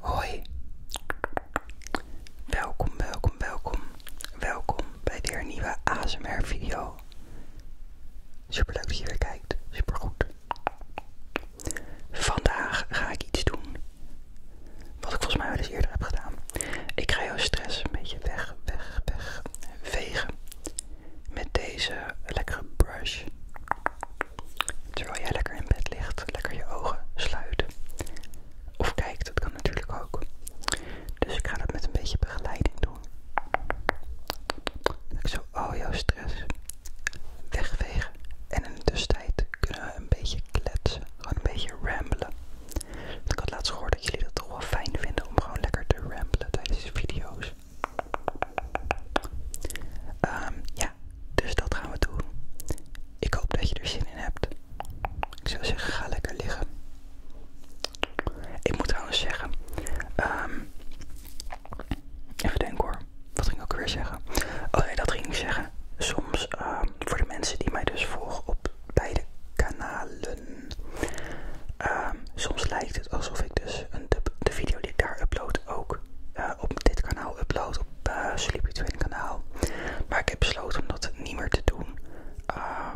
Hoi. Welkom, welkom, welkom. Welkom bij weer een nieuwe ASMR video. Super leuk dat je weer kijkt. Super goed. Vandaag ga ik iets doen. Wat ik volgens mij al eens eerder heb gedaan. Ik ga jouw stress een beetje weg, weg, weg vegen. Met deze lekkere brush. Terwijl jij lekker in bed ligt, lekker je ogen sluit. Of kijkt, dat kan natuurlijk ook. Dus ik ga dat met een beetje begeleiding doen. ik zo al jouw stress wegvegen. En in de tussentijd kunnen we een beetje kletsen. Gewoon een beetje ramblen. ik had laatst gehoord dat jullie dat toch wel fijn vinden om gewoon lekker te ramblen tijdens video's. Ja. Ehm, dus dat gaan we doen. Ik hoop dat je er zin in hebt. Ik zou zeggen, ga lekker liggen. Ik moet trouwens zeggen. Ehm, even denken hoor. Wat ging ik ook weer zeggen? Oh nee, dat ging ik zeggen. Soms ehm, voor de mensen die mij dus volgen op beide kanalen. Ehm, soms lijkt het alsof ik dus een, de, video die ik daar upload ook op dit kanaal upload, op eh, Sleepy Twin kanaal. Maar ik heb besloten om dat niet meer te doen. Ehm,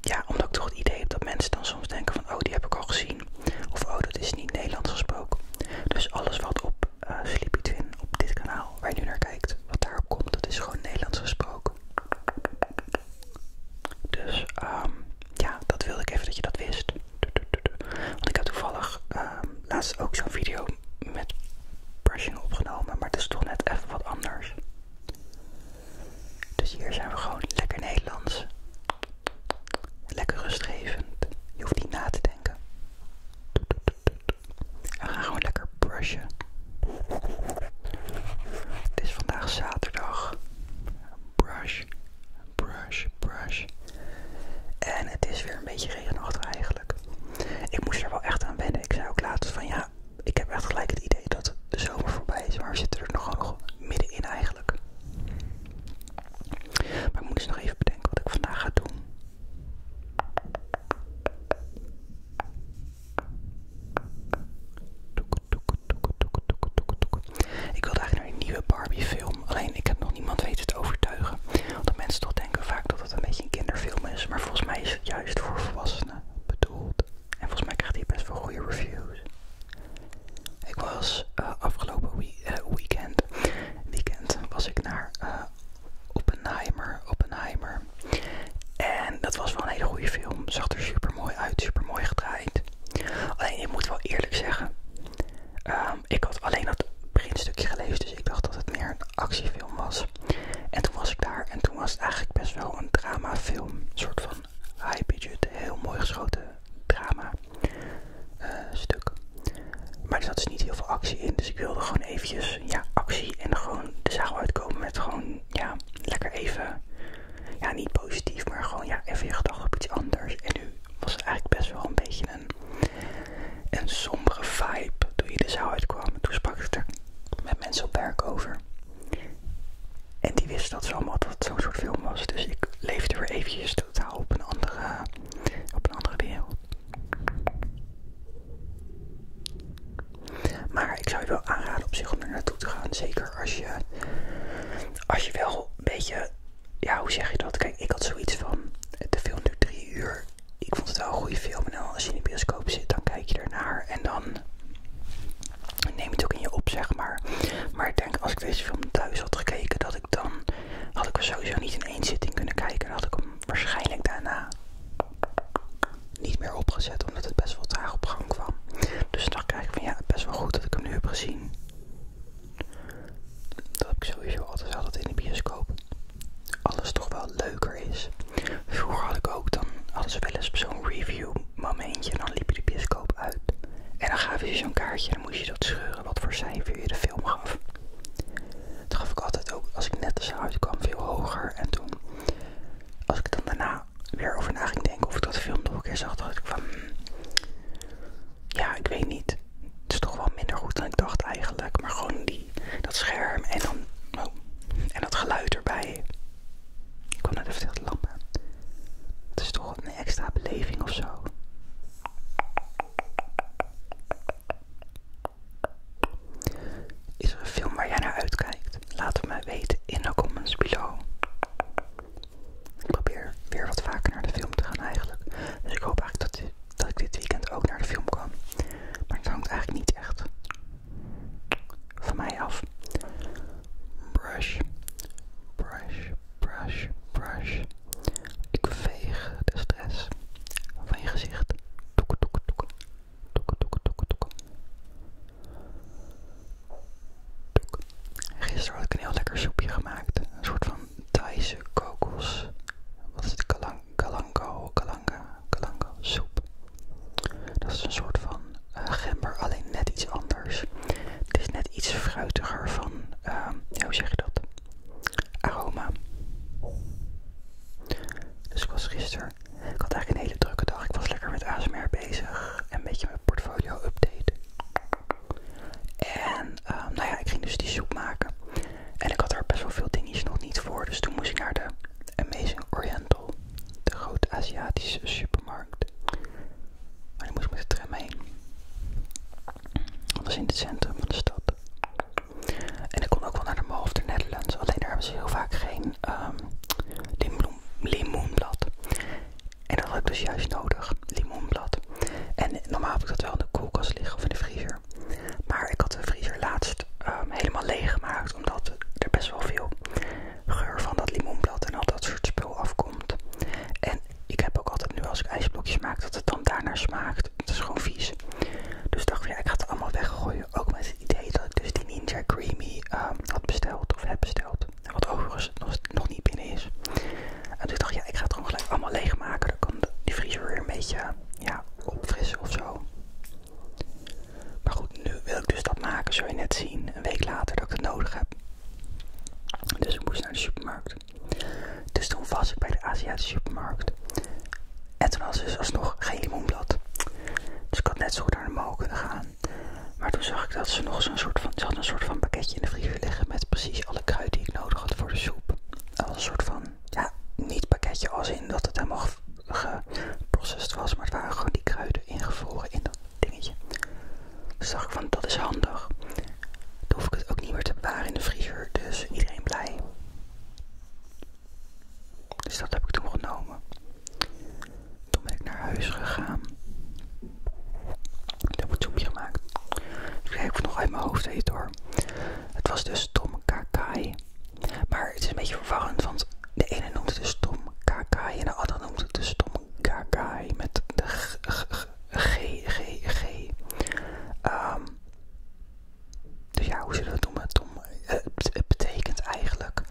ja, omdat ik toch het idee heb dat mensen dan soms denken van oh die heb ik al gezien. Of oh dat is niet Nederlands gesproken. Dus alles wat op eh, Sleepy Twin, op dit kanaal waar je nu naar kijkt, wat daar komt, dat is gewoon Nederlands gesproken. Dus ehm, ja, dat wilde ik even dat je dat wist. Want ik heb toevallig ehm, laatst ook zo'n video met brushing opgenomen, maar het is toch net even wat anders. Dus hier zijn we gewoon lekker Nederlands. Lekker rustgevend. Je hoeft niet na te denken. We gaan gewoon lekker brushen. Het is vandaag zaterdag. Brush, brush, brush. En het is weer een beetje regenachtig eigenlijk. Ik moest er wel echt aan wennen. Ik zei ook laatst van ja, ik heb echt gelijk het idee dat de zomer voorbij is. Maar we zitten er nog gewoon middenin eigenlijk. Maar ik moet eens dus nog even bedenken wat ik vandaag ga doen. Ik wil eigenlijk naar die nieuwe Barbie film. Alleen en Ik heb nog niemand weten te overtuigen. Want mensen toch denken vaak dat het een beetje een kinderfilm is. Maar volgens mij is het juist voor volwassenen bedoeld. En volgens mij krijgt hij best wel goede reviews. Ik was eh, afgelopen eh, weekend, weekend was ik naar op eh, Oppenheimer, Oppenheimer. En dat was wel een hele goede film. Zag er super mooi uit, super mooi gedraaid. Alleen ik moet wel eerlijk zeggen. Ehm, ik had alleen dat beginstukje gelezen, dus ik dacht dat het meer een actiefilm was. En toen was ik daar en toen was het eigenlijk best wel een dramafilm. Een soort van high budget, heel mooi geschoten drama eh, stuk. Maar er zat dus niet heel veel actie in, dus ik wilde gewoon eventjes ja, actie en gewoon de zaal uitkomen met gewoon ja, lekker even, ja niet positief, maar gewoon ja, even je gedachten op iets anders. En nu was het eigenlijk best wel een beetje een en sombere vibe toen je er zo uitkwam. Toen sprak ik er met mensen op werk over. En die wisten dat ze allemaal dat zo'n soort film was. Dus ik leefde weer eventjes totaal op een andere, op een andere wereld. Maar ik zou je wel aanraden op zich om er naartoe te gaan. Zeker als je, als je wel een beetje ja, hoe zeg je dat? Kijk, ik had zoiets van, de film duurt drie uur. Ik vond het wel een goede film. En als je in de bioscoop zit, dan kijk je ernaar. En dan neem je het ook in je op, zeg maar. Maar ik denk, als ik deze film thuis had gekeken, dat ik dan... Had ik er sowieso niet in één zitting kunnen kijken. en had ik hem waarschijnlijk daarna niet meer opgezet, omdat het best wel traag op gang kwam. Dus dan dacht ik van, ja, best wel goed dat ik hem nu heb gezien. Dat ik sowieso altijd altijd in de bioscoop. Alles toch wel leuker is. Vroeger had ik ook dan alles ze wel eens zo'n review momentje en dan liep je de bioscoop uit. En dan gaven ze zo'n kaartje en dan moest je dat scheuren wat voor cijfer je de film gaf. Dat gaf ik altijd ook als ik net de zaal kwam veel hoger. En toen, als ik dan daarna weer over na ging denken of ik dat film nog een keer zag, dat ik van... Hmm, ja, ik weet niet. Het is toch wel minder goed dan ik dacht eigenlijk. Maar gewoon die, dat scherm en dan oh, en dat geluid erbij. Ik kwam net even veel te lang. Het is toch een extra beleving of zo. Is er een film waar jij naar uitkijkt? Laat het mij weten in de comments below. Ik probeer weer wat vaker naar de film te gaan eigenlijk. Dus ik hoop eigenlijk dat dat ik dit weekend ook naar de film kwam. Maar het hangt eigenlijk niet echt van mij af. Brush, brush, brush, brush. Ik veeg de stress van je gezicht. Toek, toek, toek. Toek, toek, toek, toek. Gisteren had ik een heel lekker soepje gemaakt. Een soort van Thaise kokos. Wat is het? Kalanga, kalanga, kalanga, soep. Dat is een soort van eh, gember, alleen net iets anders. Het is net iets fruitiger van, ehm, hoe zeg je dat? Aroma. Dus ik was gisteren, ik had eigenlijk een hele drukke dag. Ik was lekker met ASMR bezig en een beetje mijn portfolio update. En Ehm, nou ja, ik ging dus die soep maken. En ik had er best wel veel dingetjes nog niet voor. Dus toen moest ik naar de Amazing Oriental. De grote Aziatische supermarkt. En die moest ik met de tram heen. Dat was in het centrum van de stad. En ik kon ook wel naar de Mall of the Netherlands. Alleen daar hebben ze heel vaak geen ehm, limoenblad. En dat had ik dus juist nodig. Limoenblad. En normaal heb ik dat wel in de koelkast liggen of in de vriezer. Maar ik had de vriezer laatst ehm, helemaal leeg gemaakt, omdat er best wel veel geur van dat limoenblad en al dat soort spul afkomt. En ik heb ook altijd nu als ik ijsblokjes maak, dat het dan daarna smaakt. Het is gewoon vies. Dus dacht ik, ja, ik ga het allemaal weggooien. Ook met het idee dat ik dus die Ninja Creamy ehm, had besteld of heb besteld. Wat overigens nog niet binnen is. En toen dacht ik, ja, ik ga het gewoon gelijk allemaal leegmaken. Dan kan die vriezer weer een beetje ja, opfrissen of zo. Maar goed, nu wil ik dus dat maken. Zul je net zien, een week later, dat ik het nodig heb. Dus ik moest naar de supermarkt. Dus toen was ik bij de Aziatische supermarkt. En toen was dus nog geen limoenblad. Dus ik had net zo naar de mol kunnen gaan. Maar toen zag ik dat ze nog zo'n soort van, ze een soort van pakketje in de vriezer liggen met precies alle kruiden die ik nodig had voor de soep. als een soort van ja, niet pakketje als in dat het helemaal geprocessed was, maar het waren gewoon die kruiden ingevroren in dat dingetje. Dus dacht ik van, dat is handig. Dan hoef ik het ook niet meer te bewaren in de vriezer, dus iedereen blij. Dus dat heb ik toen genomen. Toen ben ik naar huis gegaan. Ik heb een soepje gemaakt. Ik heb het nog uit mijn hoofd eten hoor. Het was dus Tom Kakai. Maar het is een beetje verwarrend, want de ene noemt het dus Tom Kakai en de andere noemt het dus Tom Kakai met de G. g, g, g, ehm, dus ja, hoe zullen we het noemen? Tom, eh, het, het betekent eigenlijk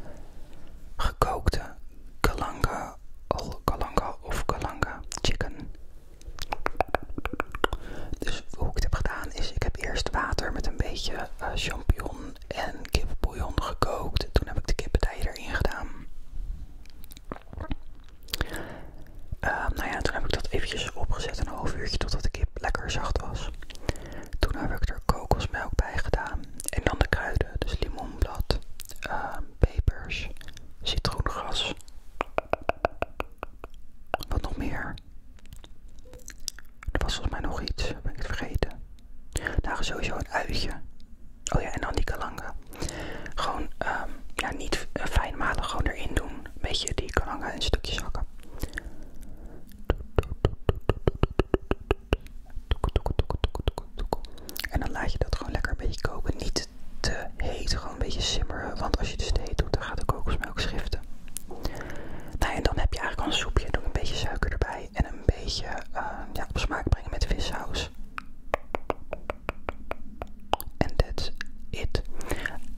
gekookte kalanga, kalanga of kalanga chicken. Dus hoe ik het heb gedaan is, ik heb eerst water met een beetje eh, champignon en kippenbouillon gekookt. Toen heb ik de kippentijen erin gedaan. Ehm, nou ja, toen heb ik dat eventjes opgezet een half uurtje totdat de kip lekker zacht was. Toen heb ik er kokosmelk bij gedaan en dan de kruiden, dus limonblad, ehm, pepers, citroengras, wat nog meer? Er was volgens mij nog iets, ben ik het vergeten. Daar nou, sowieso een uitje. Oh ja, en dan die kalanga. Gewoon, ehm, ja, niet eh, fijn malen, gewoon erin doen. Een beetje die kalanga in stukjes hakken. En dan laat je dat gewoon lekker een beetje koken. Niet te heet, gewoon een beetje simmeren. Want als je dus te doet, dan gaat de kokosmelk schiften. Nou en dan heb je eigenlijk al een soepje. Doe een beetje suiker erbij en een beetje eh, ja, op smaak brengen met vissaus. En that's it.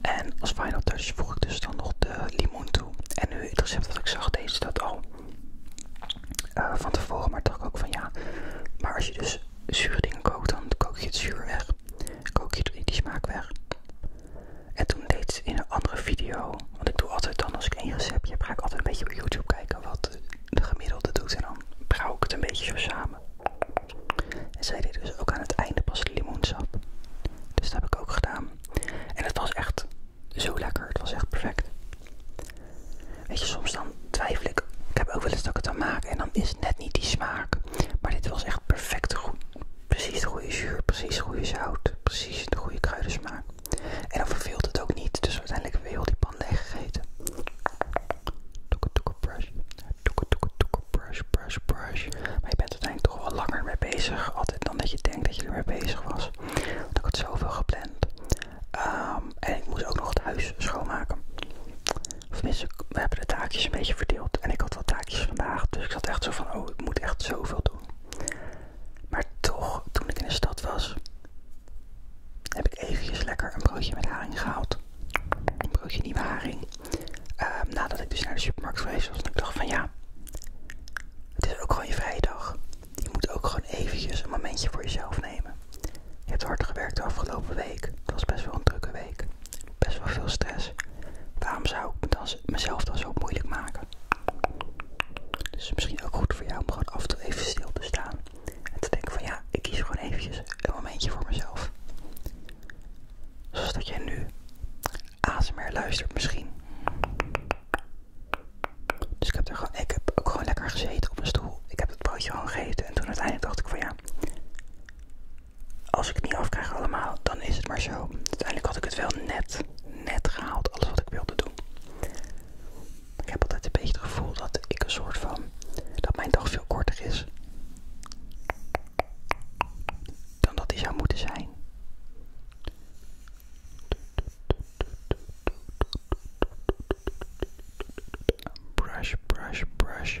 En als final touch voeg ik dus dan nog de limoen toe. En nu het recept dat ik zag, deze dat al eh, van tevoren. Maar dacht ik ook van ja, maar als je dus zure dingen kookt, dan kook je het zuur weg kook je die smaak weg. En toen deed ze in een andere video, want ik doe altijd dan als ik één receptje heb, ga ik altijd een beetje op YouTube kijken wat de gemiddelde doet. En dan brouw ik het een beetje zo samen. En zij deed dus ook aan het einde pas limoensap. Dus dat heb ik ook gedaan. En het was echt zo lekker. Het was echt perfect. Weet je, soms dan twijfel ik. Ik heb ook wel eens dat ik het dan maken en dan is het net niet die smaak. Maar dit was echt perfect goed. Precies de goede zuur, precies de goede zout, precies de goede kruidensmaak. En dan verveelt het ook niet, dus uiteindelijk hebben we heel die pan leeg gegeten. Toeke toeke brush, toeke toeke toeke brush, brush, brush. Maar je bent uiteindelijk toch wel langer mee bezig, altijd dan dat je denkt dat je ermee bezig was. Want ik had zoveel gepland. Ehm, en ik moest ook nog het huis schoonmaken. Of tenminste, we hebben de taakjes een beetje verdeeld. En ik had wel taakjes vandaag. Dus ik zat echt zo van, oh, ik moet echt zoveel doen. Maar toch, toen ik in de stad was, heb ik eventjes lekker een broodje met haring gehaald. Een broodje nieuwe haring. Ehm, nadat ik dus naar de supermarkt geweest was. En ik dacht van, ja, het is ook gewoon je vrijdag. Je moet ook gewoon eventjes een momentje voor jezelf nemen. Je hebt hard gewerkt de afgelopen week. Het was best wel een drukke week best wel veel stress. Waarom zou ik mezelf dan zo moeilijk maken? Dus misschien ook goed voor jou om gewoon af en toe even stil te staan. En te denken van ja, ik kies gewoon eventjes een momentje voor mezelf. Zoals dat jij nu ASMR luistert misschien. Dus ik heb, er gewoon, ik heb ook gewoon lekker gezeten op mijn stoel. Ik heb het broodje gewoon gegeten. En toen uiteindelijk dacht ik van ja, als ik het niet afkrijg allemaal, dan is het maar zo. Uiteindelijk had ik het wel net, net gehaald, alles wat ik wilde doen. Ik heb altijd een beetje het gevoel dat ik een soort van, dat mijn dag veel korter is. Dan dat die zou moeten zijn. Brush, brush, brush